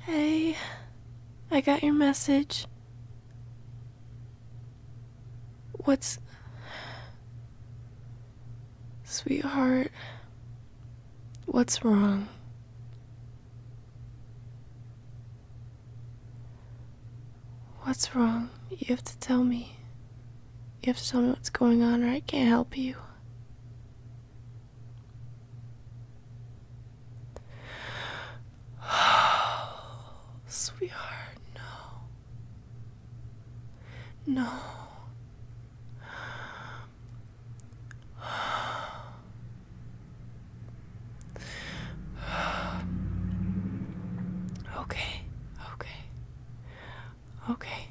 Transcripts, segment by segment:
Hey, I got your message. What's. Sweetheart, what's wrong? What's wrong? You have to tell me. You have to tell me what's going on, or I can't help you. Oh, sweetheart, no. No. Okay, okay. Okay.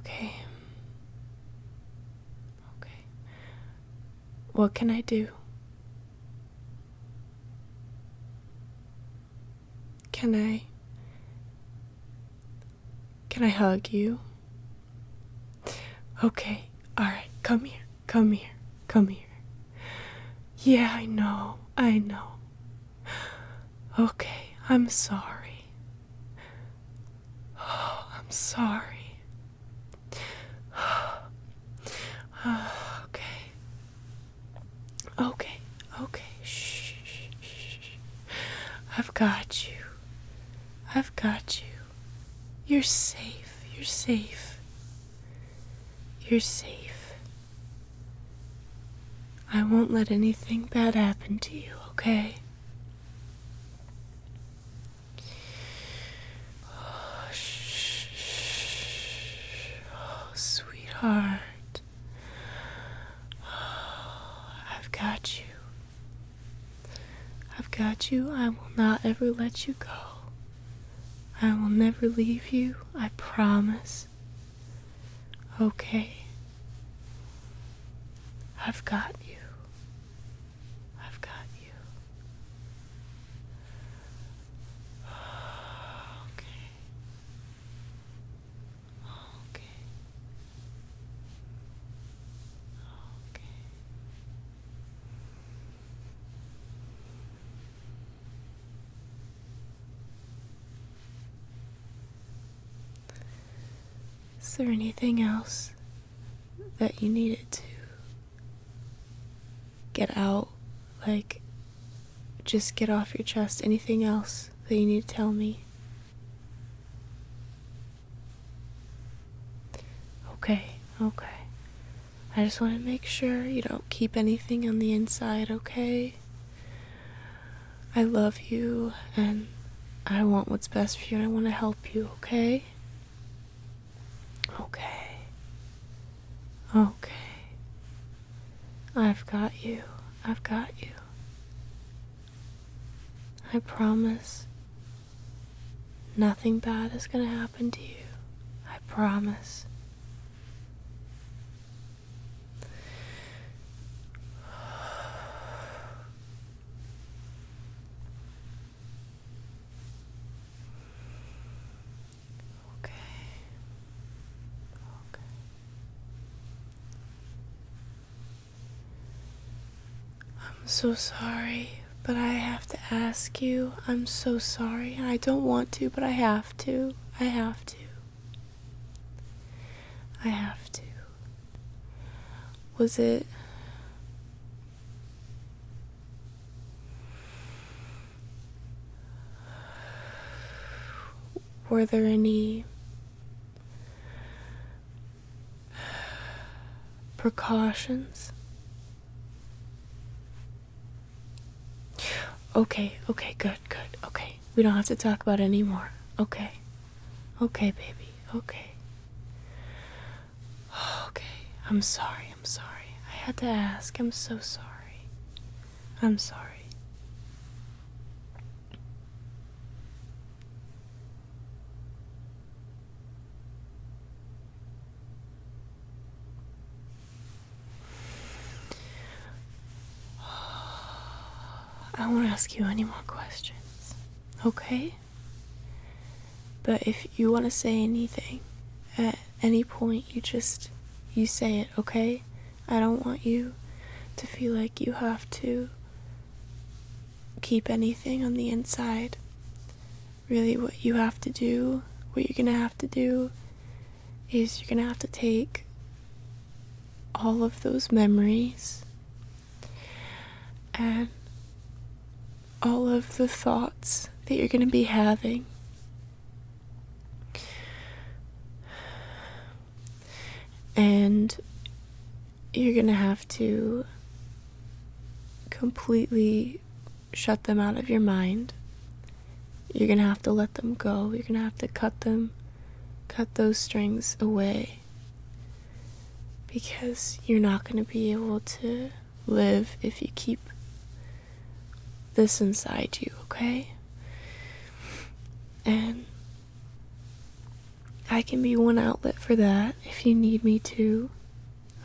Okay. Okay. What can I do? Can I Can I hug you? Okay. All right. Come here. Come here. Come here. Yeah, I know, I know. Okay, I'm sorry. Oh, I'm sorry. okay. Okay, okay. Shh, shh, shh. I've got you. I've got you. You're safe. You're safe. You're safe. I won't let anything bad happen to you, okay? Oh, oh sweetheart. Oh, I've got you. I've got you. I will not ever let you go. I will never leave you, I promise. Okay. I've got you. I've got you. Okay. Okay. Okay. Is there anything else that you needed to get out? Like, just get off your chest. Anything else that you need to tell me? Okay, okay. I just want to make sure you don't keep anything on the inside, okay? I love you and I want what's best for you and I want to help you, okay? Okay. Okay. I've got you. I've got you. I promise Nothing bad is going to happen to you. I promise. Okay. Okay. I'm so sorry, but I have to ask you. I'm so sorry, and I don't want to, but I have to. I have to. I have to. Was it. Were there any precautions Okay, okay, good, good, okay. We don't have to talk about it anymore. Okay. Okay, baby, okay. Okay, I'm sorry, I'm sorry. I had to ask. I'm so sorry. I'm sorry. I do not want to ask you any more questions, okay? But if you want to say anything at any point, you just you say it, okay? I don't want you to feel like you have to keep anything on the inside really what you have to do, what you're gonna have to do is you're gonna have to take all of those memories and all of the thoughts that you're going to be having. And you're going to have to completely shut them out of your mind. You're going to have to let them go. You're going to have to cut them, cut those strings away. Because you're not going to be able to live if you keep this inside you, okay? And I can be one outlet for that if you need me to.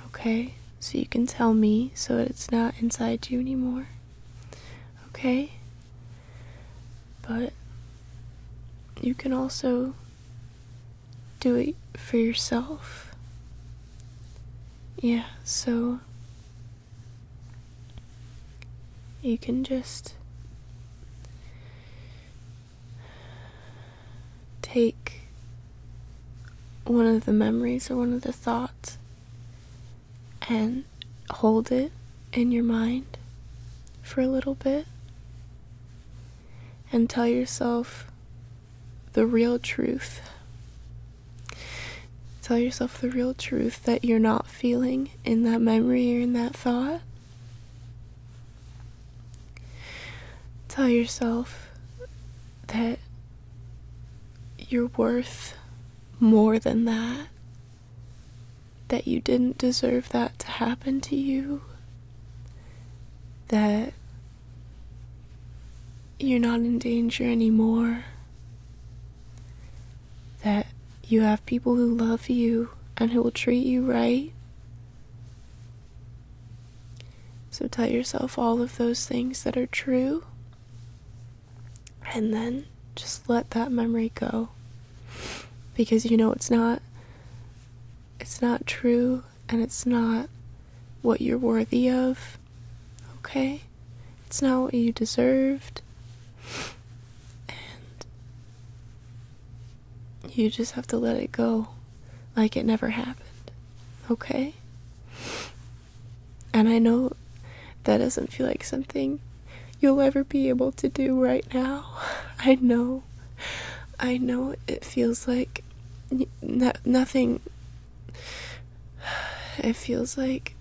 Okay, so you can tell me so it's not inside you anymore. Okay? But you can also do it for yourself. Yeah, so you can just take one of the memories or one of the thoughts and hold it in your mind for a little bit and tell yourself the real truth. Tell yourself the real truth that you're not feeling in that memory or in that thought. Tell yourself that you're worth more than that, that you didn't deserve that to happen to you, that you're not in danger anymore, that you have people who love you and who will treat you right, so tell yourself all of those things that are true and then just let that memory go because you know it's not it's not true and it's not what you're worthy of. Okay? It's not what you deserved. And you just have to let it go like it never happened, okay? And I know that doesn't feel like something you'll ever be able to do right now. I know. I know it feels like nothing. It feels like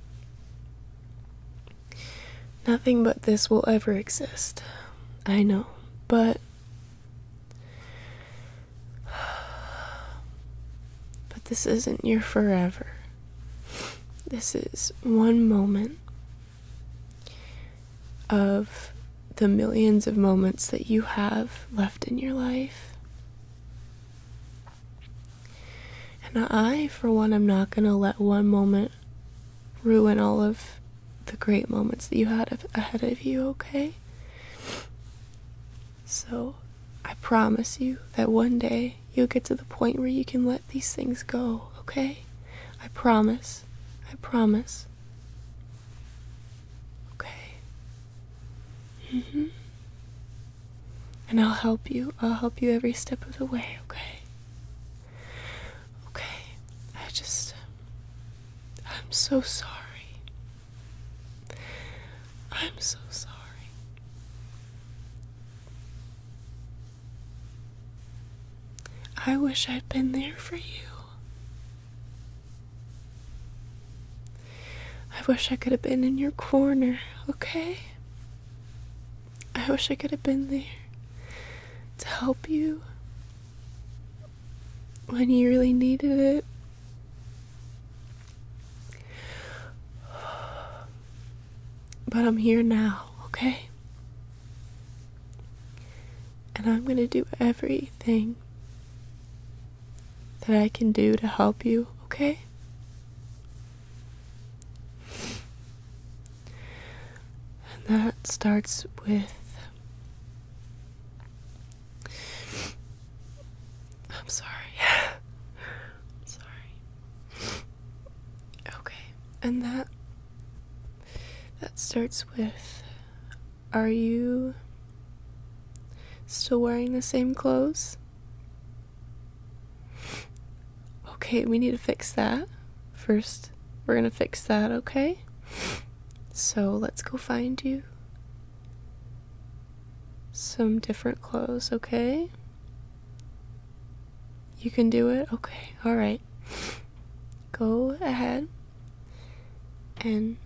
nothing but this will ever exist. I know. But But this isn't your forever. This is one moment of the millions of moments that you have left in your life. And I, for one, am not going to let one moment ruin all of the great moments that you had ahead of you, okay? So, I promise you that one day you'll get to the point where you can let these things go, okay? I promise. I promise. Okay. Mhm. and I'll help you. I'll help you every step of the way, okay? Okay. I just I'm so sorry. I'm so sorry. I wish I'd been there for you. I wish I could have been in your corner, okay? I wish I could have been there to help you when you really needed it. But I'm here now, okay? And I'm going to do everything that I can do to help you, okay? And that starts with I'm sorry. sorry. Okay. And that that starts with are you still wearing the same clothes? Okay, we need to fix that. First, we're going to fix that, okay? So let's go find you some different clothes, okay? You can do it? Okay, alright. Go ahead and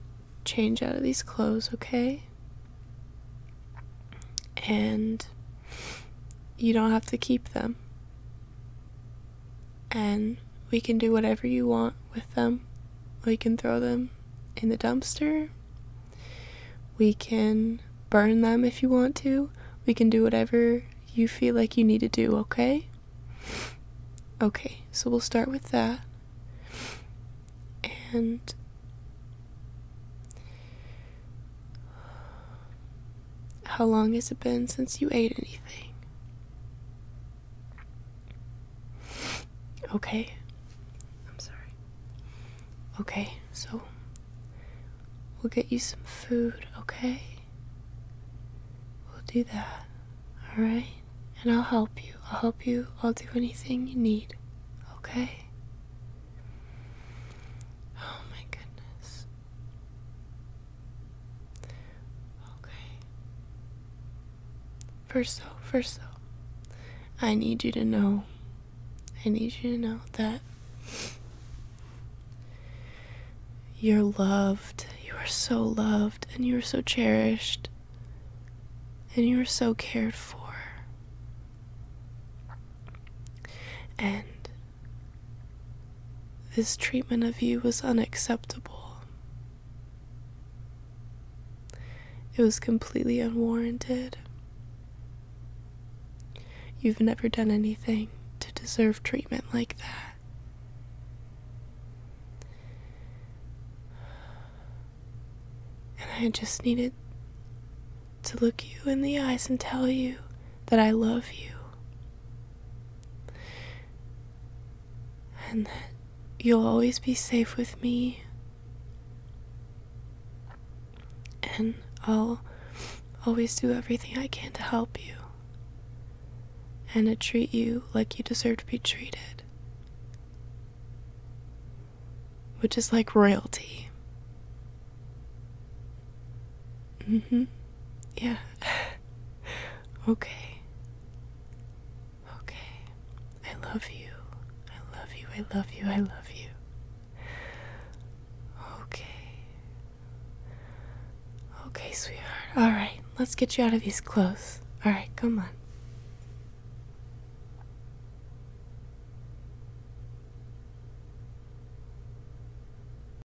change out of these clothes, okay? And you don't have to keep them and we can do whatever you want with them. We can throw them in the dumpster. We can burn them if you want to. We can do whatever you feel like you need to do, okay? Okay, so we'll start with that. And how long has it been since you ate anything? Okay. I'm sorry. Okay, so we'll get you some food, okay? We'll do that, alright? And I'll help you. I'll help you. I'll do anything you need, okay? Oh my goodness. Okay. First so first so, I need you to know, I need you to know that you're loved, you are so loved, and you are so cherished, and you are so cared for. And this treatment of you was unacceptable. It was completely unwarranted. You've never done anything to deserve treatment like that. And I just needed to look you in the eyes and tell you that I love you and that you'll always be safe with me. And I'll always do everything I can to help you and to treat you like you deserve to be treated, which is like royalty. Mm hmm. Yeah. okay. Okay. I love you. I love you. I love you. I love you. Okay. Okay, sweetheart. All right. Let's get you out of these clothes. All right, come on.